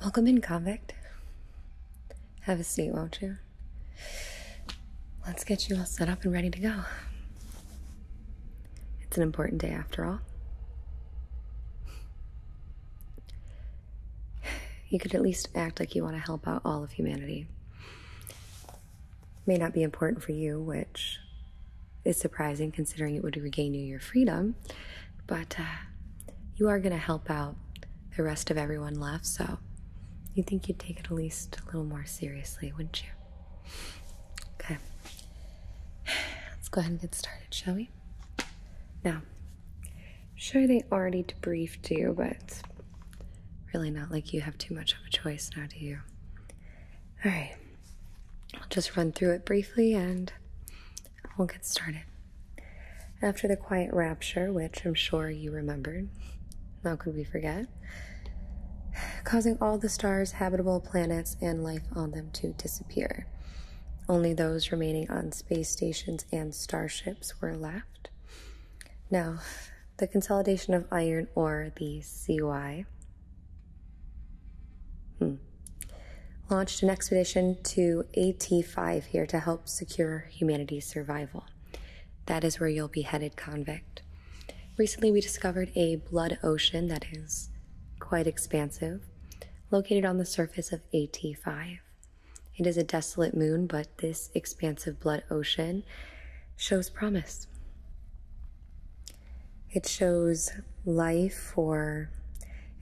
Welcome in, convict. Have a seat, won't you? Let's get you all set up and ready to go. It's an important day after all. You could at least act like you want to help out all of humanity. may not be important for you, which is surprising considering it would regain you your freedom, but uh, you are going to help out the rest of everyone left, so you think you'd take it at least a little more seriously, wouldn't you? Okay. Let's go ahead and get started, shall we? Now, I'm sure they already debriefed you, but really not like you have too much of a choice now, do you? All right. I'll just run through it briefly and we'll get started. After the quiet rapture, which I'm sure you remembered, how could we forget? Causing all the stars, habitable planets, and life on them to disappear. Only those remaining on space stations and starships were left. Now, the consolidation of iron ore, the CY, hmm, launched an expedition to AT5 here to help secure humanity's survival. That is where you'll be headed, convict. Recently, we discovered a blood ocean that is quite expansive located on the surface of AT5. It is a desolate moon, but this expansive blood ocean shows promise. It shows life or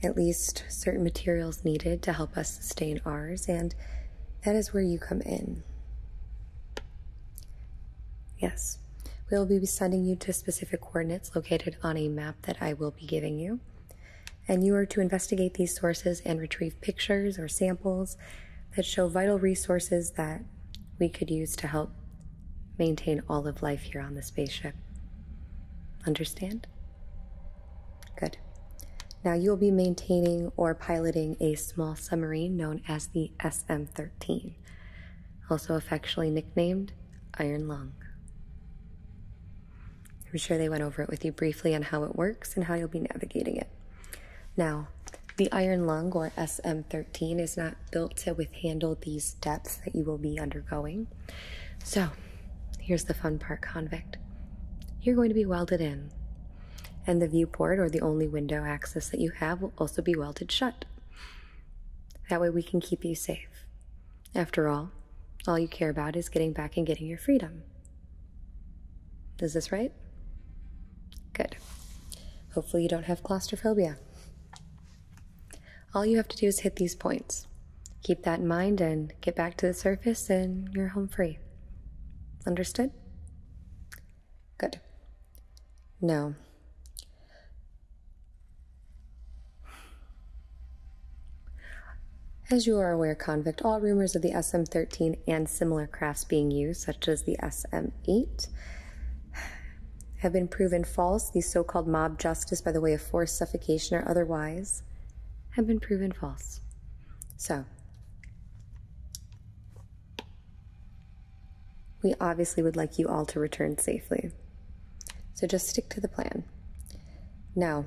at least certain materials needed to help us sustain ours, and that is where you come in. Yes, we will be sending you to specific coordinates located on a map that I will be giving you. And you are to investigate these sources and retrieve pictures or samples that show vital resources that we could use to help maintain all of life here on the spaceship. Understand? Good. Now you'll be maintaining or piloting a small submarine known as the SM 13, also affectionately nicknamed Iron Lung. I'm sure they went over it with you briefly on how it works and how you'll be navigating it. Now, the iron lung or SM13 is not built to with handle these depths that you will be undergoing. So, here's the fun part, convict. You're going to be welded in, and the viewport or the only window access that you have will also be welded shut. That way, we can keep you safe. After all, all you care about is getting back and getting your freedom. Is this right? Good. Hopefully, you don't have claustrophobia. All you have to do is hit these points. Keep that in mind and get back to the surface, and you're home free. Understood? Good. Now, as you are aware, convict, all rumors of the SM 13 and similar crafts being used, such as the SM 8, have been proven false. These so called mob justice, by the way of forced suffocation or otherwise, have been proven false. So, we obviously would like you all to return safely. So, just stick to the plan. Now,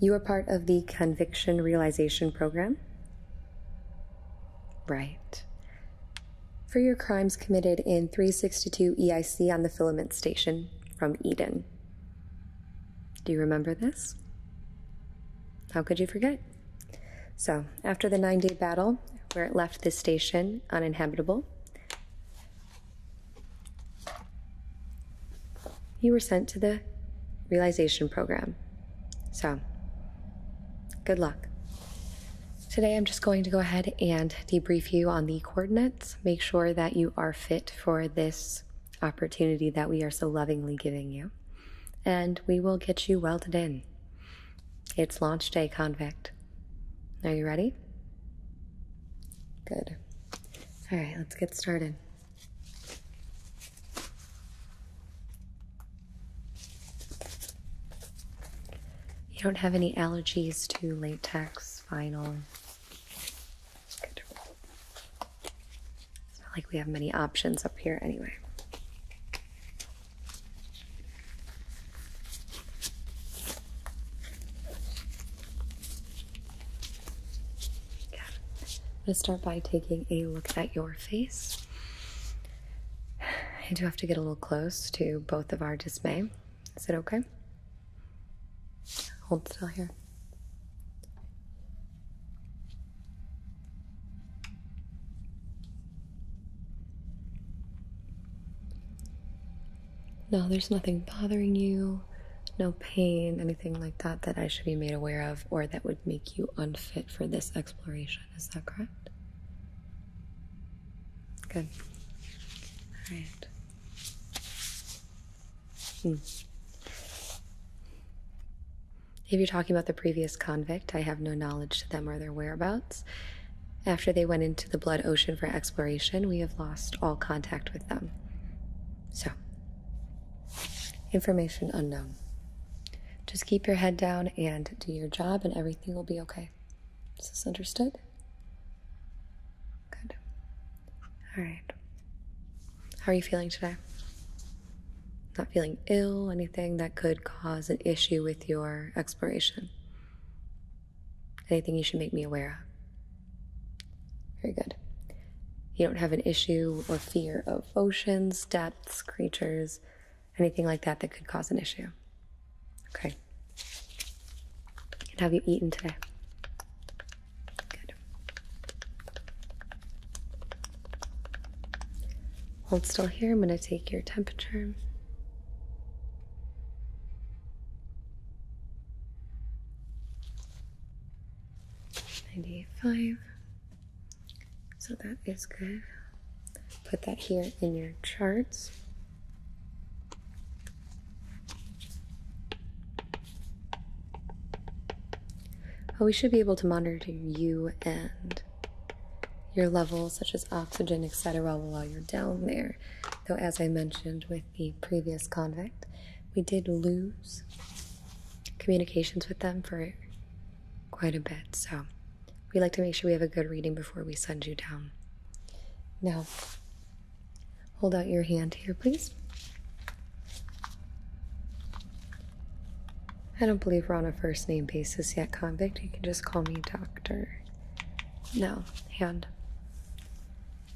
you are part of the Conviction Realization Program? Right. For your crimes committed in 362 EIC on the filament station from Eden. Do you remember this? How could you forget? So, after the nine day battle, where it left this station uninhabitable, you were sent to the realization program. So, good luck. Today, I'm just going to go ahead and debrief you on the coordinates, make sure that you are fit for this opportunity that we are so lovingly giving you, and we will get you welded in. It's launch day, convict. Are you ready? Good. All right, let's get started. You don't have any allergies to latex, vinyl. It's not like we have many options up here anyway. Yeah. I'm gonna start by taking a look at your face. I do have to get a little close to both of our dismay. Is it okay? Hold still here. No, there's nothing bothering you, no pain, anything like that that I should be made aware of or that would make you unfit for this exploration. Is that correct? Good. All right. Hmm. If you're talking about the previous convict, I have no knowledge to them or their whereabouts. After they went into the Blood Ocean for exploration, we have lost all contact with them. So, information unknown. Just keep your head down and do your job, and everything will be okay. Is this understood? Good. All right. How are you feeling today? Not feeling ill, anything that could cause an issue with your exploration? Anything you should make me aware of? Very good. You don't have an issue or fear of oceans, depths, creatures, anything like that that could cause an issue. Okay. And have you eaten today? Good. Hold still here. I'm going to take your temperature. Ninety-five. So that is good. Put that here in your charts. Well, we should be able to monitor you and your levels, such as oxygen, etc., while you're down there. Though, as I mentioned with the previous convict, we did lose communications with them for quite a bit, so we like to make sure we have a good reading before we send you down. Now, hold out your hand here, please. I don't believe we're on a first name basis yet, convict. You can just call me doctor. Now, hand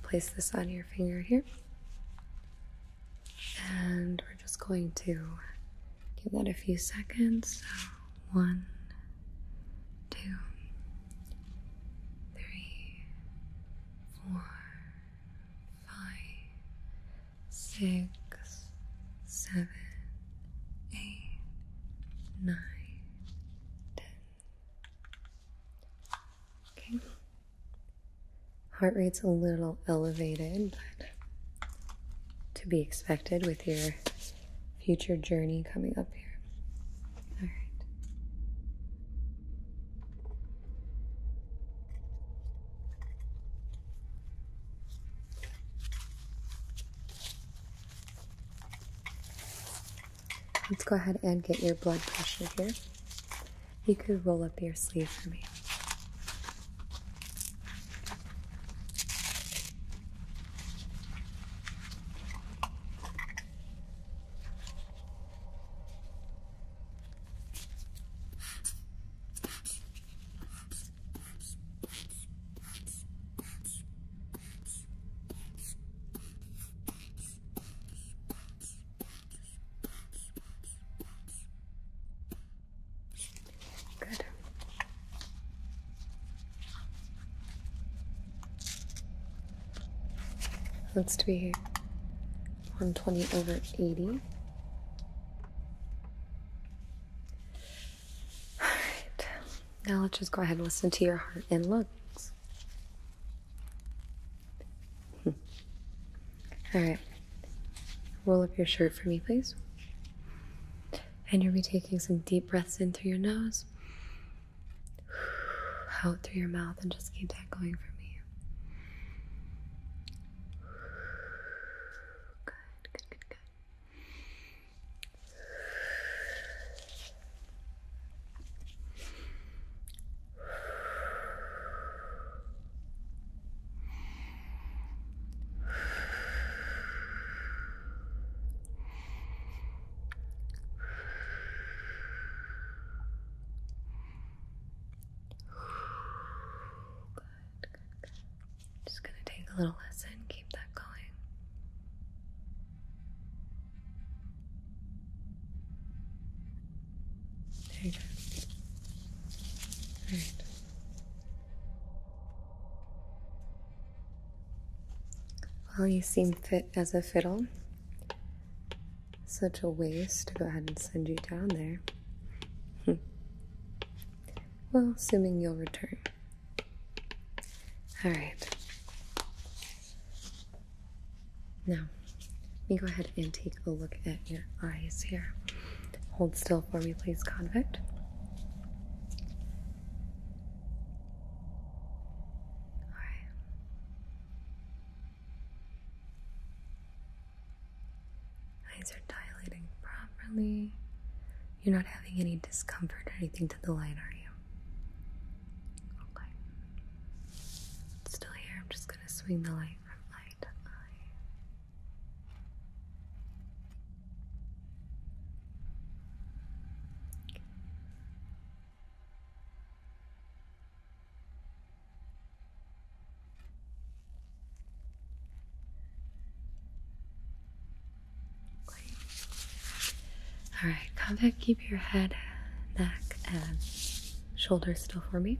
place this on your finger here. And we're just going to give that a few seconds. So, one, two, three, four, five, six, seven, eight, nine, ten, Okay. Heart rate's a little elevated, but to be expected with your future journey coming up here. All right. Let's go ahead and get your blood pressure here. You could roll up your sleeve for me. Good. let to be 120 over 80. All right. Now let's just go ahead and listen to your heart and lungs. All right. Roll up your shirt for me, please. And you'll be taking some deep breaths in through your nose, out through your mouth, and just keep that going for me. Good, good, good, good. Good, good, Just gonna take a little lesson, keep that going. There you go. All right. Well, you seem fit as a fiddle. Such a waste to go ahead and send you down there. Hmm. well, assuming you'll return. All right. Now, let me go ahead and take a look at your eyes here. Hold still for me, please, convict. Eyes are dilating properly. You're not having any discomfort or anything to the light, are you? Still here. I'm just gonna swing the light from eye Alright, come back, keep your head, neck, and shoulders still for me.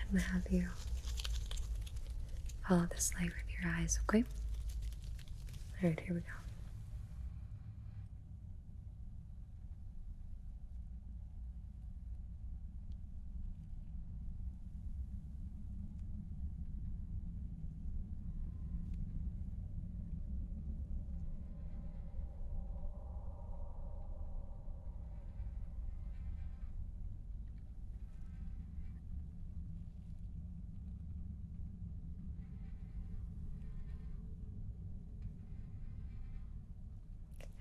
I'm gonna have you follow this light with your eyes, okay? Alright, here we go.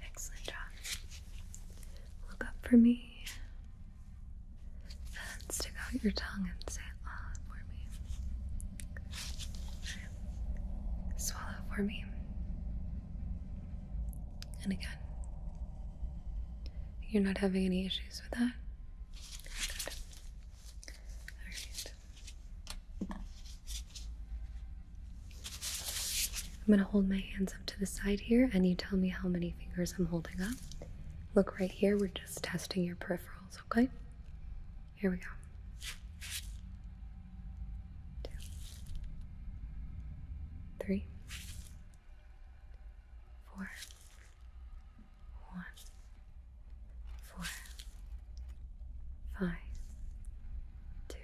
Excellent job. Look up for me. And stick out your tongue and say ah for me. Swallow for me. And again. You're not having any issues with that? I'm going to hold my hands up to the side here, and you tell me how many fingers I'm holding up. Look right here, we're just testing your peripherals, okay? Here we go. Two, three, four, one, four, five, two.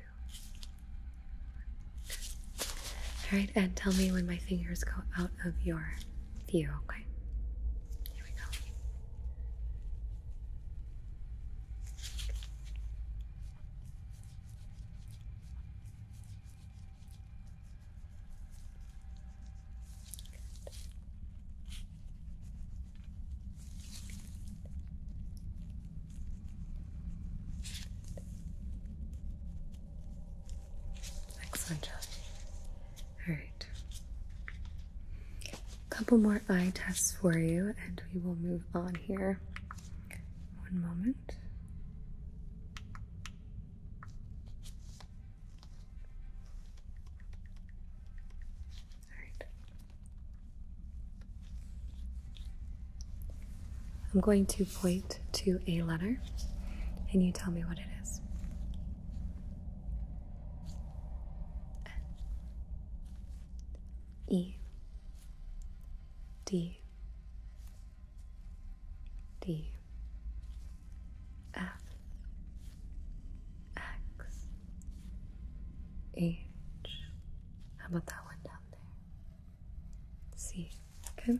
All right, and tell me when my fingers go out of your view, okay? Here we go. Excellent job. All right. A couple more eye tests for you, and we will move on here. One moment. All right. I'm going to point to a letter, and you tell me what it is. E D D F X H. How about that one down there? C. Okay.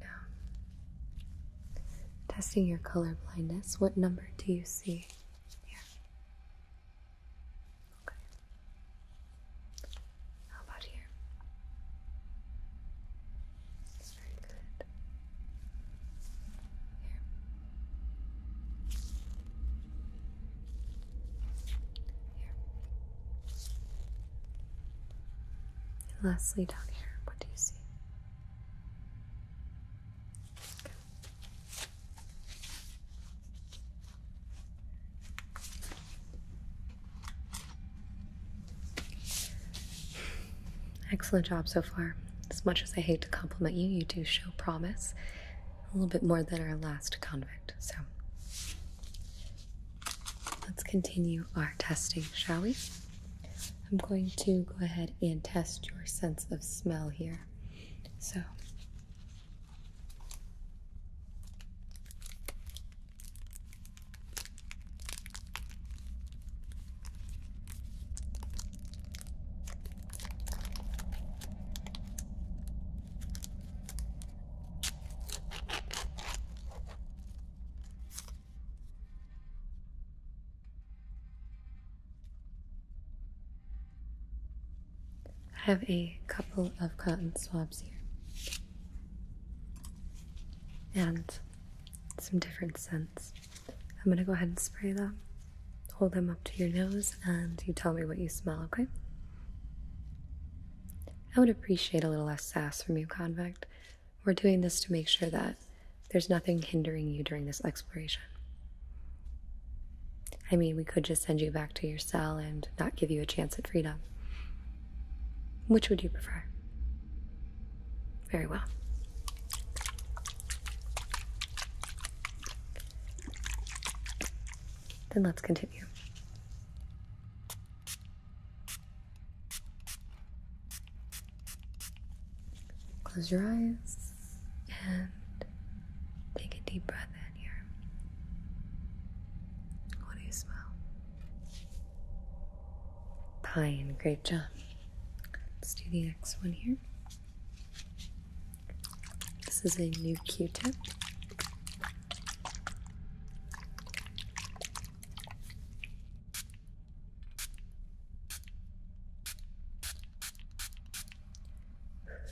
Now, testing your color blindness. What number do you see? Yeah. Okay. How about here? That's very good. Here. Here. And lastly, down here, what do you see? Excellent job so far. As much as I hate to compliment you, you do show promise. A little bit more than our last convict, so. Let's continue our testing, shall we? I'm going to go ahead and test your sense of smell here. So, I have a couple of cotton swabs here and some different scents. I'm going to go ahead and spray them. Hold them up to your nose and you tell me what you smell, okay? I would appreciate a little less sass from you, convict. We're doing this to make sure that there's nothing hindering you during this exploration. I mean, we could just send you back to your cell and not give you a chance at freedom. Which would you prefer? Very well. Then let's continue. Close your eyes and take a deep breath in here. What do you smell? Pine, great job. Let's do the next one here. This is a new q tip.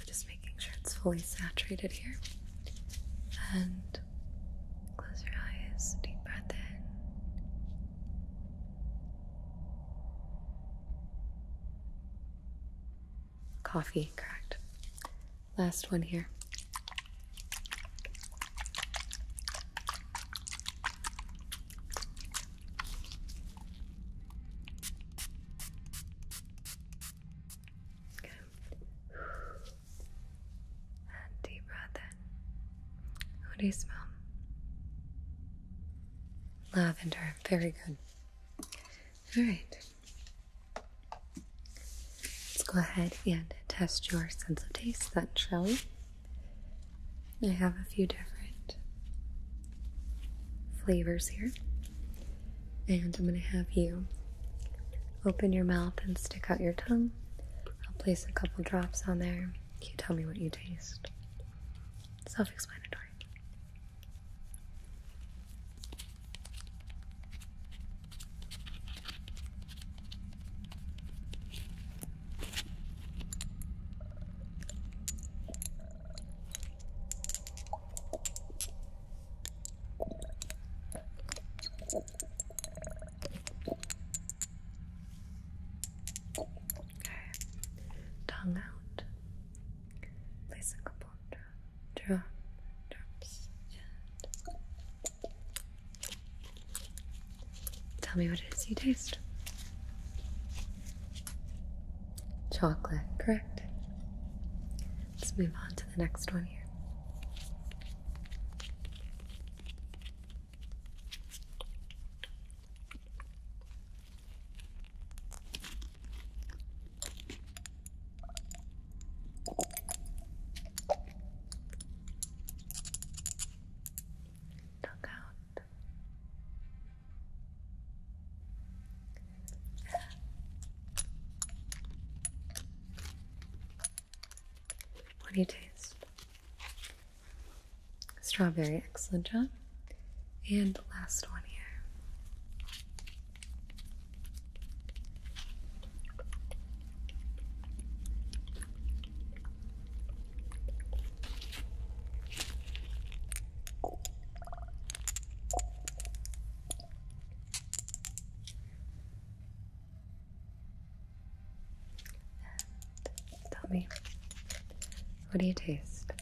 Just making sure it's fully saturated here. And close your eyes, deep breath in. Coffee, correct. Last one here. Good. And What do you smell? Lavender. Very good. All right. Let's go ahead and test your sense of taste then, shall we? I have a few different flavors here, and I'm going to have you open your mouth and stick out your tongue. I'll place a couple drops on there. You tell me what you taste. Self explanatory. Tongue out. Place a bond drum, drums, and tell me what it is you taste. Chocolate, correct. Let's move on to the next one here. Duck out. What do you taste? Strawberry, excellent job. And the last one here tell me, what do you taste?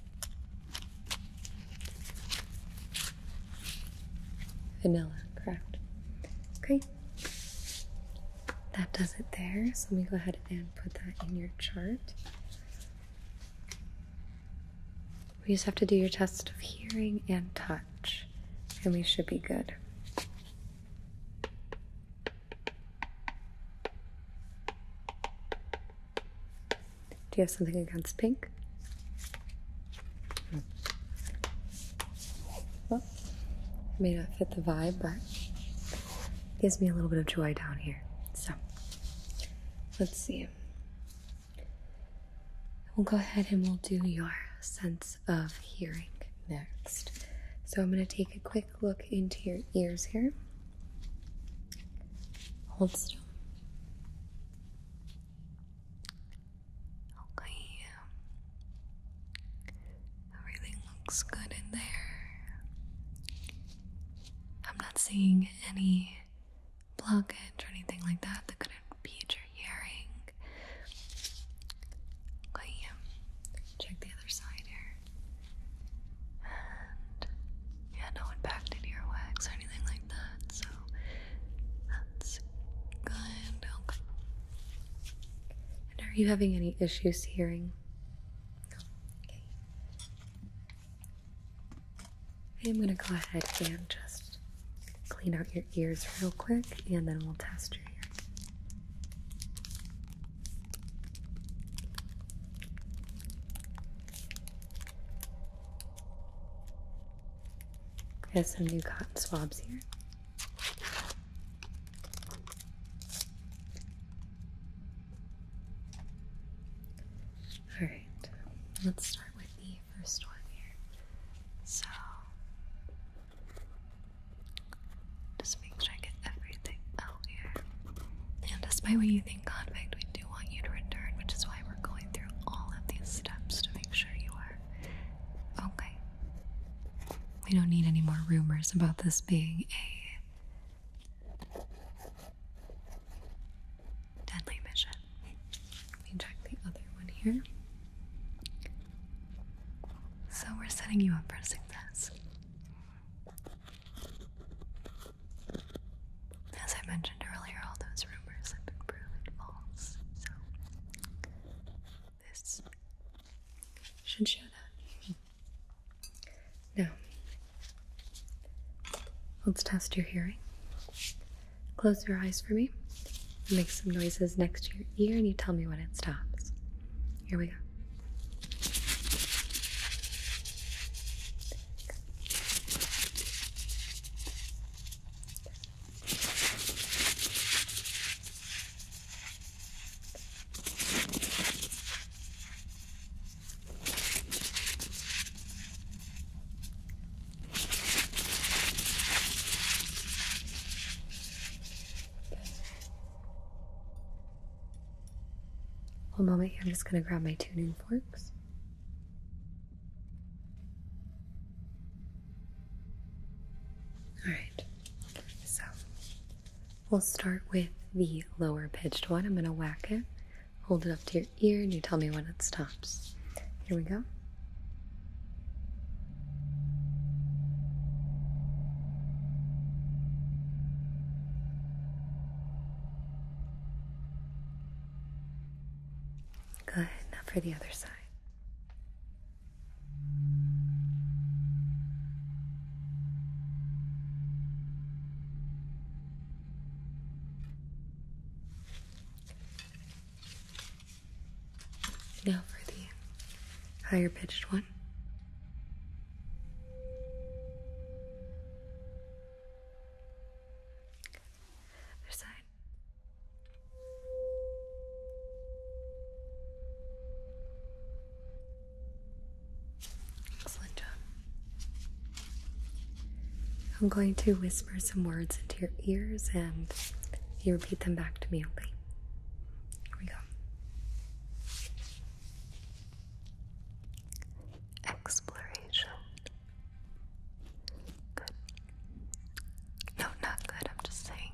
Vanilla, correct. Okay. That does it there. So let me go ahead and put that in your chart. We just have to do your test of hearing and touch, and we should be good. Do you have something against pink? Well, it may not fit the vibe, but it gives me a little bit of joy down here. So let's see. We'll go ahead and we'll do your sense of hearing next. So I'm going to take a quick look into your ears here. Hold still. Okay. Everything looks good in there. I'm not seeing any blockage or anything like that that could impede your hearing. Okay, um, check the other side here. And yeah, no impacted earwax or anything like that, so that's good. Okay. And are you having any issues hearing? I'm going to go ahead and just clean out your ears real quick and then we'll test your ear. I have some new cotton swabs here. Alright, let's start with the first one here. So, just make sure I get everything out here. And despite what you think, convict, we do want you to return, which is why we're going through all of these steps to make sure you are okay. We don't need any more rumors about this being a Deadly Mission. Let me check the other one here. So we're setting you up for success. As I mentioned earlier, all those rumors have been proven false. So this should show that. Now, let's test your hearing. Close your eyes for me. Make some noises next to your ear and you tell me when it stops. Here we go. One moment, I'm just going to grab my tuning forks. Alright, so we'll start with the lower pitched one. I'm going to whack it Hold it up to your ear and you tell me when it stops. Here we go. Good. Now for the other side. Now for the higher pitched one. Other Excellent I'm going to whisper some words into your ears and you repeat them back to me, okay? Here we go. Exploration. Good. No, not good. I'm just saying.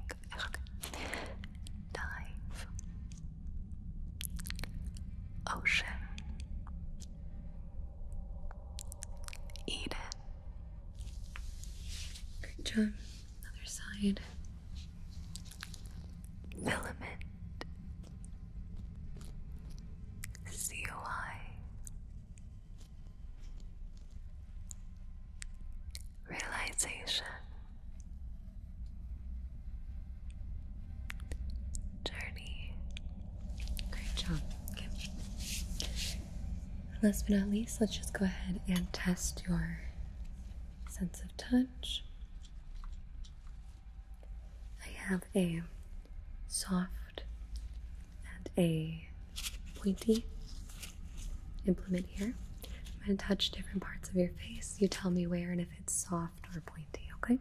Dive. Ocean. Eat it. job. Other side. Filament. COI. Realization journey. Great job. Last but not least, let's just go ahead and test your sense of touch. I have a soft and a pointy implement here. I'm going to touch different parts of your face. You tell me where and if it's soft or pointy, okay?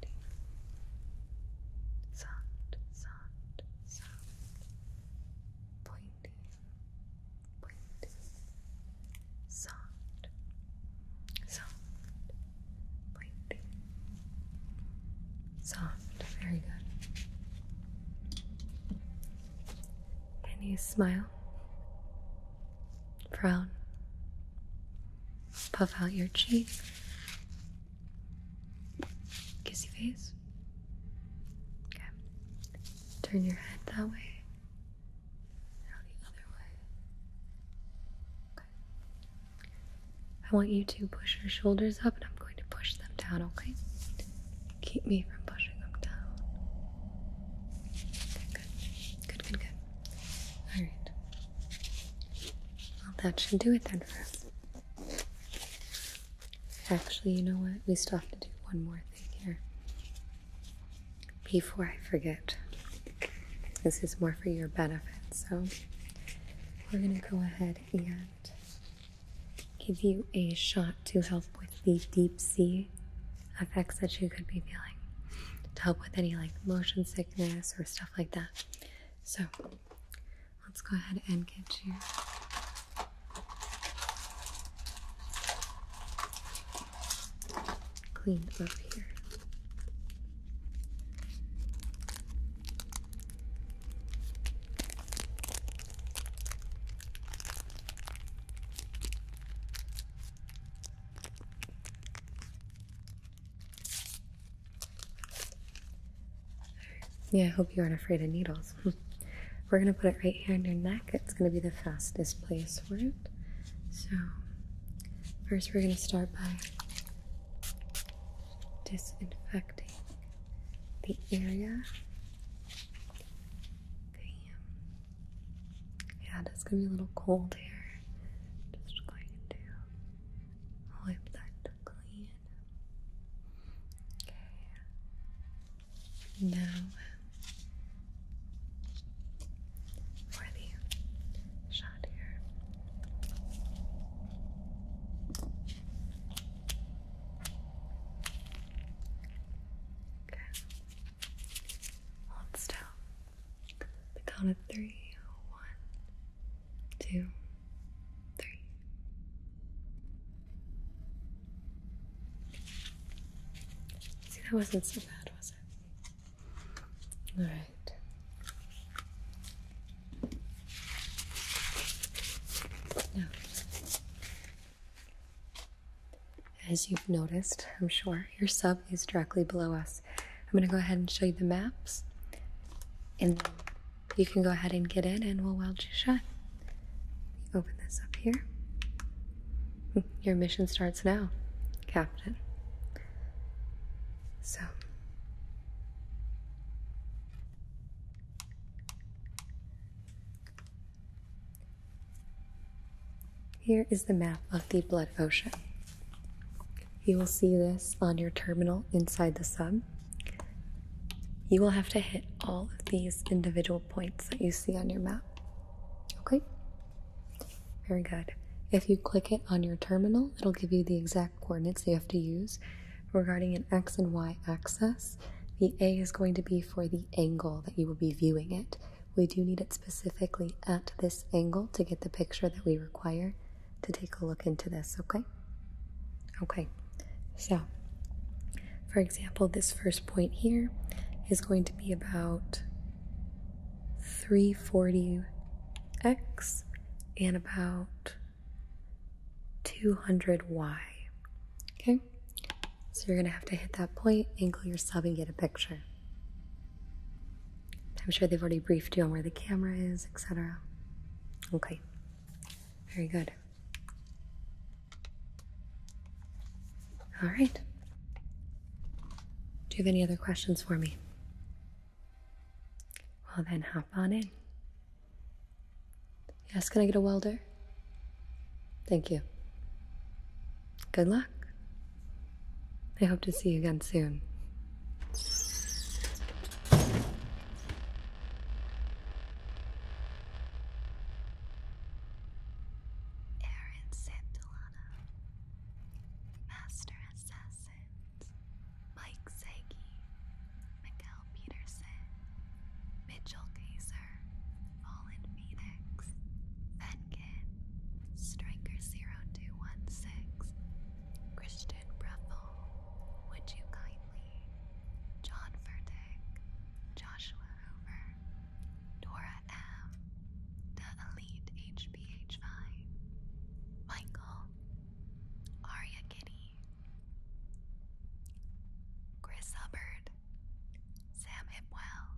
ding. Sound, sound, sound. Pointing, pointing. Sound, sound, pointing. Soft, very good. Can you smile? Frown. Puff out your cheeks. Kissy face. Okay. Turn your head that way. Now the other way. Okay. I want you to push your shoulders up and I'm going to push them down, okay? Keep me from pushing them down. good. Good, good, good. Alright. Well, that should do it then for us. Actually, you know what? We still have to do one more thing here. Before I forget, this is more for your benefit, so we're going to go ahead and give you a shot to help with the deep sea effects that you could be feeling to help with any like motion sickness or stuff like that. So let's go ahead and get you. Clean up here. Yeah, I hope you aren't afraid of needles. We're going to put it right here on your neck. It's going to be the fastest place for it. So, first we're going to start by disinfecting the area. Yeah, that's going to be a little cold here. Just going to Wipe that clean. Okay. Now for the shot here. Okay. Hold still. The count of three. One, two, three. See, that wasn't so bad, was it? All right. Now, as you've noticed, I'm sure, your sub is directly below us. I'm going to go ahead and show you the maps. And you can go ahead and get in and we'll weld you shut. Open this up here. Your mission starts now, Captain. So. Here is the map of the Blood Ocean. You will see this on your terminal inside the sub. You will have to hit all of these individual points that you see on your map. Okay? Very good. If you click it on your terminal, it'll give you the exact coordinates you have to use regarding an x and y axis. The A is going to be for the angle that you will be viewing it. We do need it specifically at this angle to get the picture that we require to take a look into this, okay? Okay, so for example, this first point here is going to be about 340x and about 200y. Okay, so you're gonna have to hit that point, angle your sub, and get a picture. I'm sure they've already briefed you on where the camera is, etc. Okay, very good. All right. Do you have any other questions for me? Well, then hop on in. Yes, can I get a welder? Thank you. Good luck. I hope to see you again soon. Aaron Santolana, Master Assassins, Mike Sagi, Miguel Peterson, Mitchell Gazer, Fallen Phoenix, Venkin, Striker 0216, Christian Brethel, Would You Kindly, John Furtick, Joshua Hoover, Dora M, The Elite HBH5, Michael, Aria Kitty, Chris Hubbard, Sam Hipwell,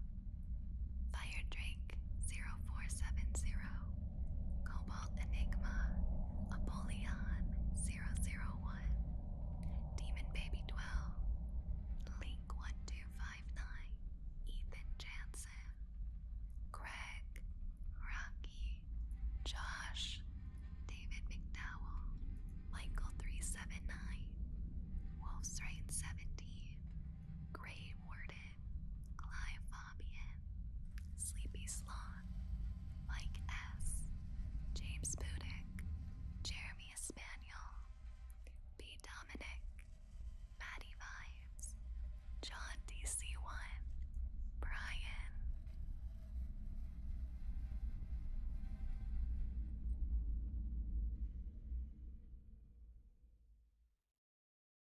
Fire Drink. 0470, Cobalt Enigma, Apollyon 001, Demon Baby 12, Link 1259, Ethan Jansen, Greg, Rocky, Josh, David McDowell, Michael 379, Wolf's Right seventy. Grey Warden, Clive Fabian, Sleepy Sloth, Mike S., James Budick, Jeremy Spaniel, B. Dominic, Maddie Vibes, John DC1, Brian.